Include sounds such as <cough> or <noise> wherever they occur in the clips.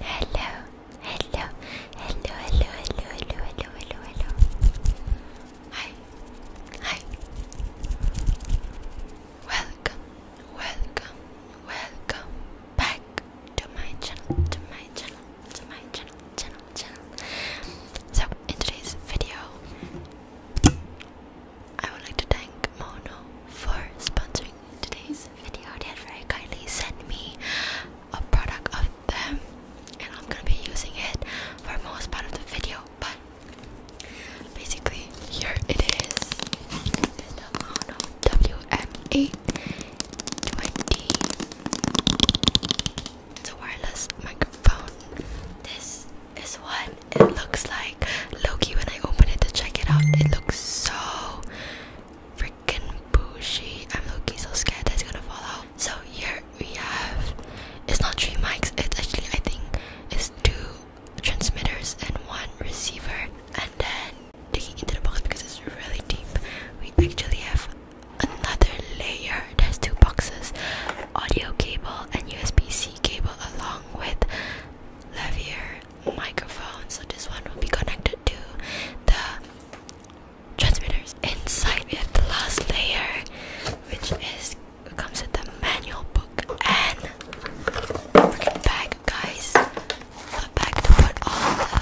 Hello, hello, hello, hello, hello, hello, hello, hello, hello. Hi, hi. Welcome, welcome, welcome back to my channel, to my channel, to my channel, channel, channel. So in today's video, I would like to thank Mono for sponsoring today's video. They had very kindly sent me a product of them, and I'm gonna be using it for most part of the video. But basically, here it is. Mono WM8 It's a wireless microphone. This is what it looks like Loki when I open it to check it out. It looks so freaking bushy. I'm Loki so scared it's gonna fall out. So here we have it's not three mics, it's actually I think it's two transmitters and one receiver. And then digging into the box because it's really deep, we actually have another layer. There's two boxes, audio cable and USB-C cable along with lavier microphone so this one will be connected to the transmitters inside we have the last layer which is comes with the manual book and bag guys a bag to put all the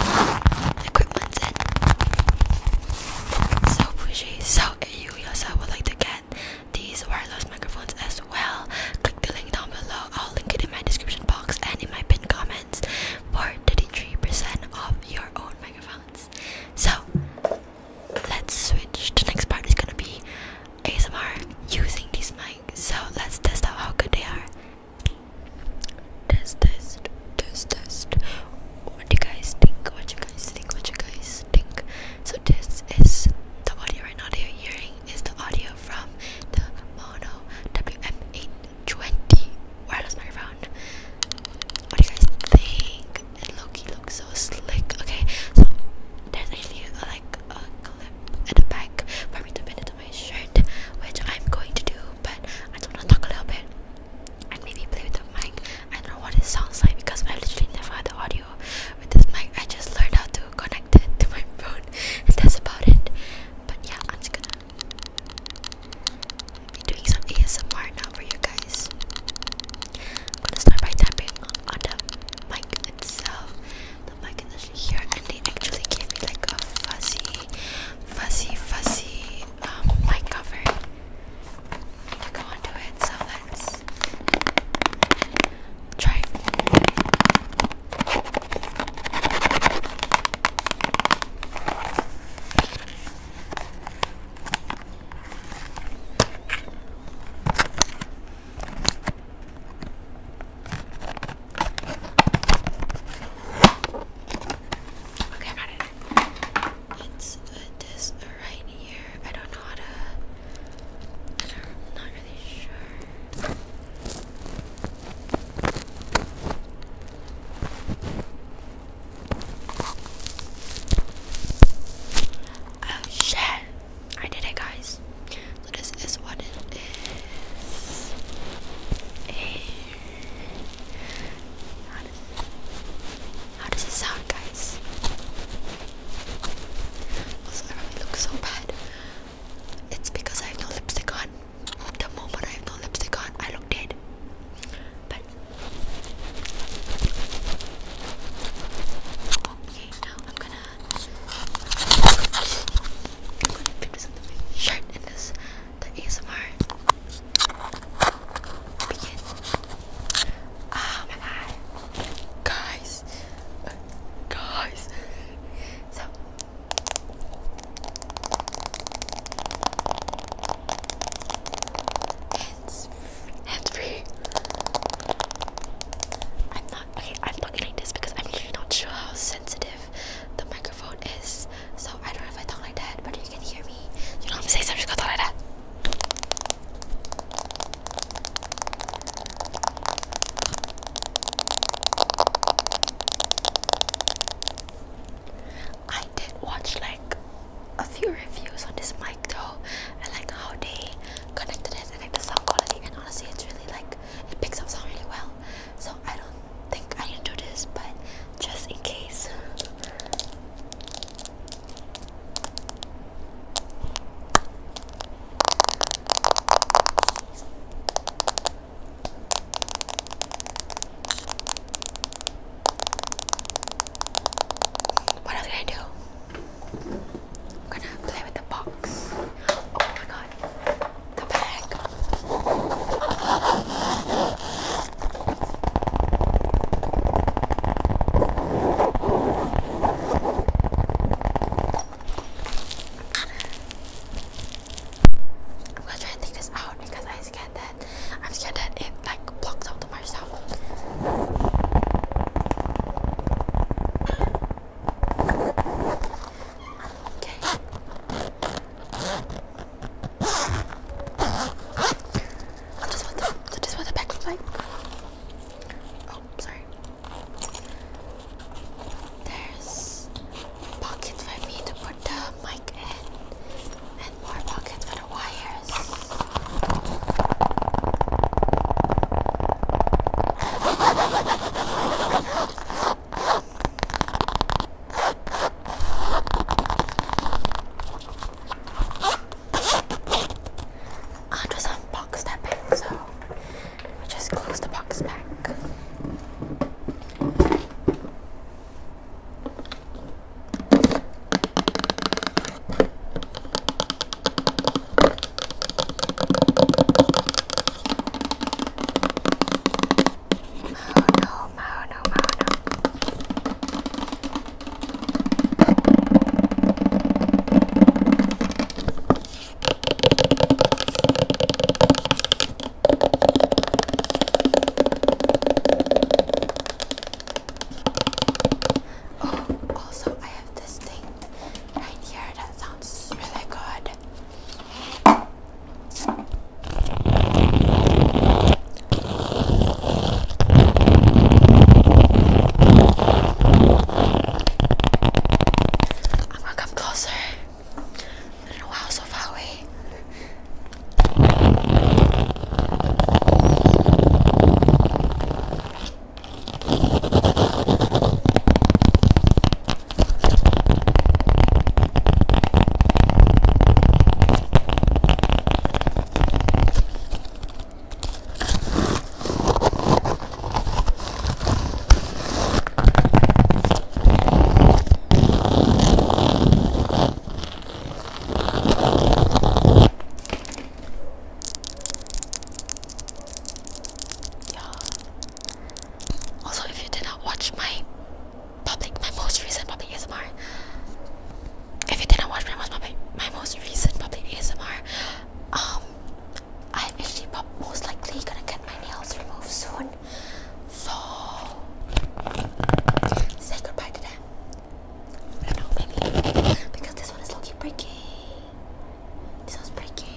equipment in so pushy so if you yourself would like to get these wireless microphones as well. Click the link down below. I'll link it in my description box and in my pinned comments for 33% off your own microphones. So let's switch. The next part is gonna be ASMR using these mics. So let's test out how good they are. Test test test test. What do you guys think? What do you guys think? What you guys think? So this is the audio right now that you're hearing is the audio from the Mono WM820 wireless microphone. What do you guys think? And Loki looks so slick. Okay, so there's actually a, like a clip at the back for me to pin into my shirt, which I'm going to do, but I just want to talk a little bit and maybe play with the mic. I don't know what it sounds like because I literally never had the audio with this mic. I just learned how to connect to my phone, and that's about it. But yeah, I'm just gonna be doing some ASMR now for you guys. gonna start by tapping on the mic itself. The mic is actually here, and they actually gave me like a fuzzy, fuzzy, fuzzy um, mic cover to go onto it. So let's Try. Okay, got it. Let's right here. I don't know how to. I don't, not really sure. Oh shit! I did it, guys. this is what it is. how does it sound, guys? Also, I look so bad. It's because I have no lipstick on. The moment I have no lipstick on, I look dead. But okay, now I'm gonna I'm gonna pick this up with the ASMR begin. Oh my god, guys, guys. So hands, hands free. I'm not okay. I'm looking like this because I'm not sure how sensitive the microphone is. So I don't know if I talk like that, but you can hear me. You know I'm saying? So like that. I did watch like a few reviews on this mic though, and like how they connected it and like the sound quality. And honestly, it's really like it picks up sound really well. So I don't think I didn't do this, but just in case. What else can I do? I'm gonna play with the box. Oh my god. The bag. I'm gonna try and take this out because I'm scared that I'm scared that it like blocks out the marsh sound. Okay. That is what the, that is what the back looks Oh, sorry. There's pockets for me to put the mic in, and more pockets for the wires. I just unboxed that bag, so we just close the box back. Oh no, Mahono, Mahono. Oh, also I have this thing right here that sounds really good. I'm gonna come closer. I don't know how so far away. Yeah. Also, if you did not watch my public, my most recent public ASMR. If you didn't watch my most public, my most recent public ASMR, um, I'm actually most likely gonna get my nails removed soon. So say goodbye to them. I know, maybe because this one is low-key breaking. This one's breaking.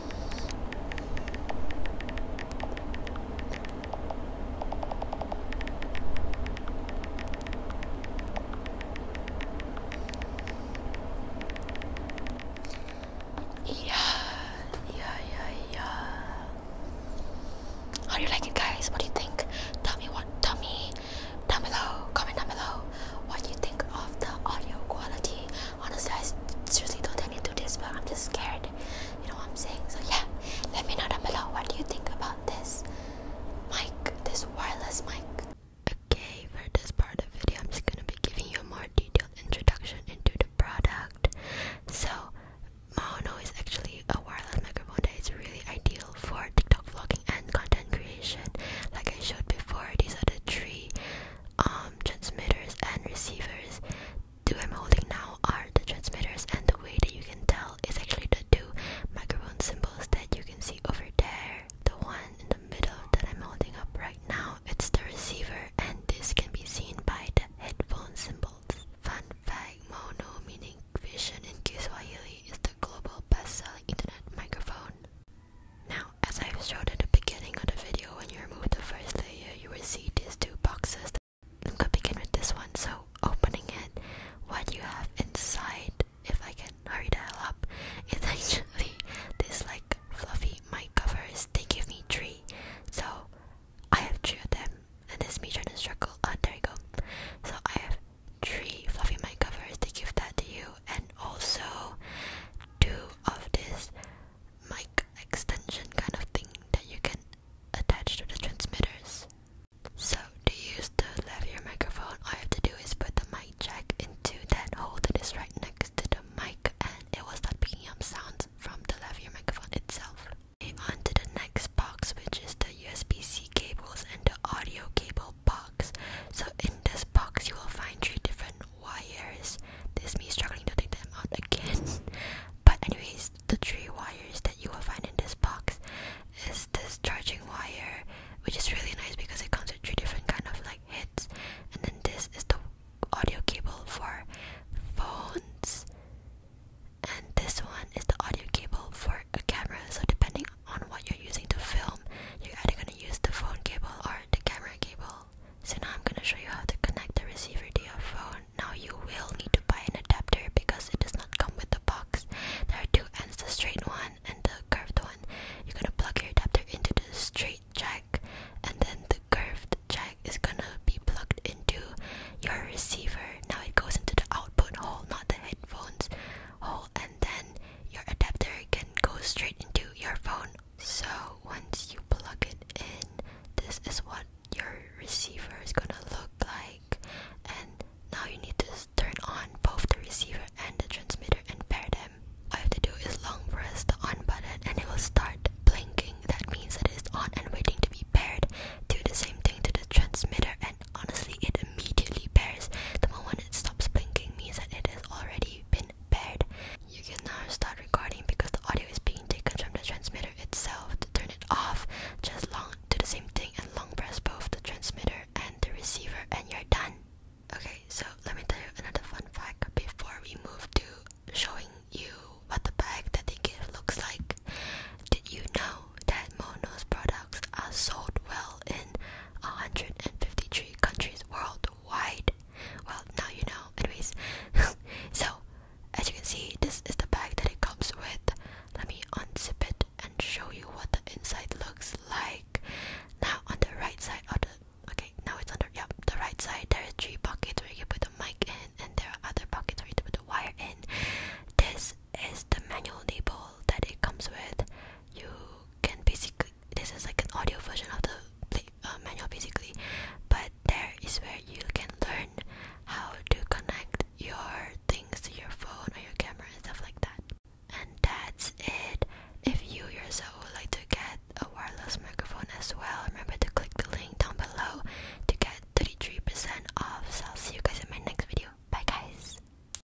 Yeah, yeah, yeah, yeah. How do you like it, guys? What do you think? Tell me what, tell me down below, comment down below what do you think of the audio quality honestly I seriously don't want to do this but I'm just scared you know what I'm saying so yeah let me know down below what do you think about this mic this wireless mic okay for this part of the video I'm just gonna be giving you a more detailed introduction into the product so Mahono is actually a wireless microphone that is really ideal for TikTok vlogging and content creation. Like I showed before, these are the three um, transmitters and receivers. Two I'm holding now are the transmitters, and the way that you can tell is actually the two microphone symbols that you can see over there. The one in the middle that I'm holding up right now, it's the receiver, and this can be seen by the headphone symbols. Fun fact, mono meaning vision in Kiswahili is the global best-selling internet microphone. Now, as I've showed at the beginning of the video, when you remove the first layer, you will see these two boxes. I'm gonna begin with this one. So, opening it, what you have inside, if I can hurry the hell up, <laughs> is actually this like fluffy mic covers. They give me three. So, I have three of them, and this me trying to struggle. Oh, ah, there you go. So, I have three fluffy mic covers. to give that to you and also two of this mic extension kind of thing that you can attach to the transmitters. So to use the lavalier microphone, all I have to do is put the mic jack into that hole that is right next to the mic and it will start picking up sounds from the lavalier microphone itself. on to the next box which is the USB-C cables and the audio cable box. So in this box you will find three different wires. This is me struggling to take them out again. <laughs> but anyways, the three wires that you will find in this box is this charging wire, which is really nice because it comes with three different kind of like heads. And then this is the audio cable for phones. And this one is the audio cable for a camera. So depending on what you're you're using to film, you're either going to use the phone cable or the camera cable. So now I'm going to show you how to connect the receiver to your phone. Now you will need to buy an adapter because it does not come with the box. There are two ends, the straight one and the curved one. You're going to plug your adapter into the straight jack and then the curved jack is going to be plugged into your receiver. Now it goes into the output hole, not the headphones hole and then your adapter can go straight into your phone. So once you plug it in, this is what your receiver is gonna look like. And now you need to turn on both the receiver and the transmitter and pair them. All you have to do is long press the on button and it will start blinking. That means it is on and waiting to be paired. Do the same thing to the transmitter and honestly it immediately pairs. The moment it stops blinking means that it has already been paired. You can now start recording because the audio is being taken from the transmitter itself. To turn it off, just long do the same thing and long press both the transmitter and the receiver and you're done. Okay, so let me tell you another fun fact before we move to showing you what the bag that they give looks like. Did you know that Mono's products are sold well in 153 countries worldwide. Well, now you know. Anyways, <laughs> so as you can see, this is the bag that it comes with. Let me unzip it and show you what the inside looks like. Now on the right side of oh, the okay, now it's on the yep, the right side there are three pockets where you put the mic in and there are other pockets where you put the wire in. This is the manual label that it comes with you can basically this is like an audio version of the uh, manual basically but there is where you can learn how to connect your things to your phone or your camera and stuff like that and that's it if you yourself would like to get a wireless microphone as well remember to click the link down below to get 33% off so i'll see you guys in my next video bye guys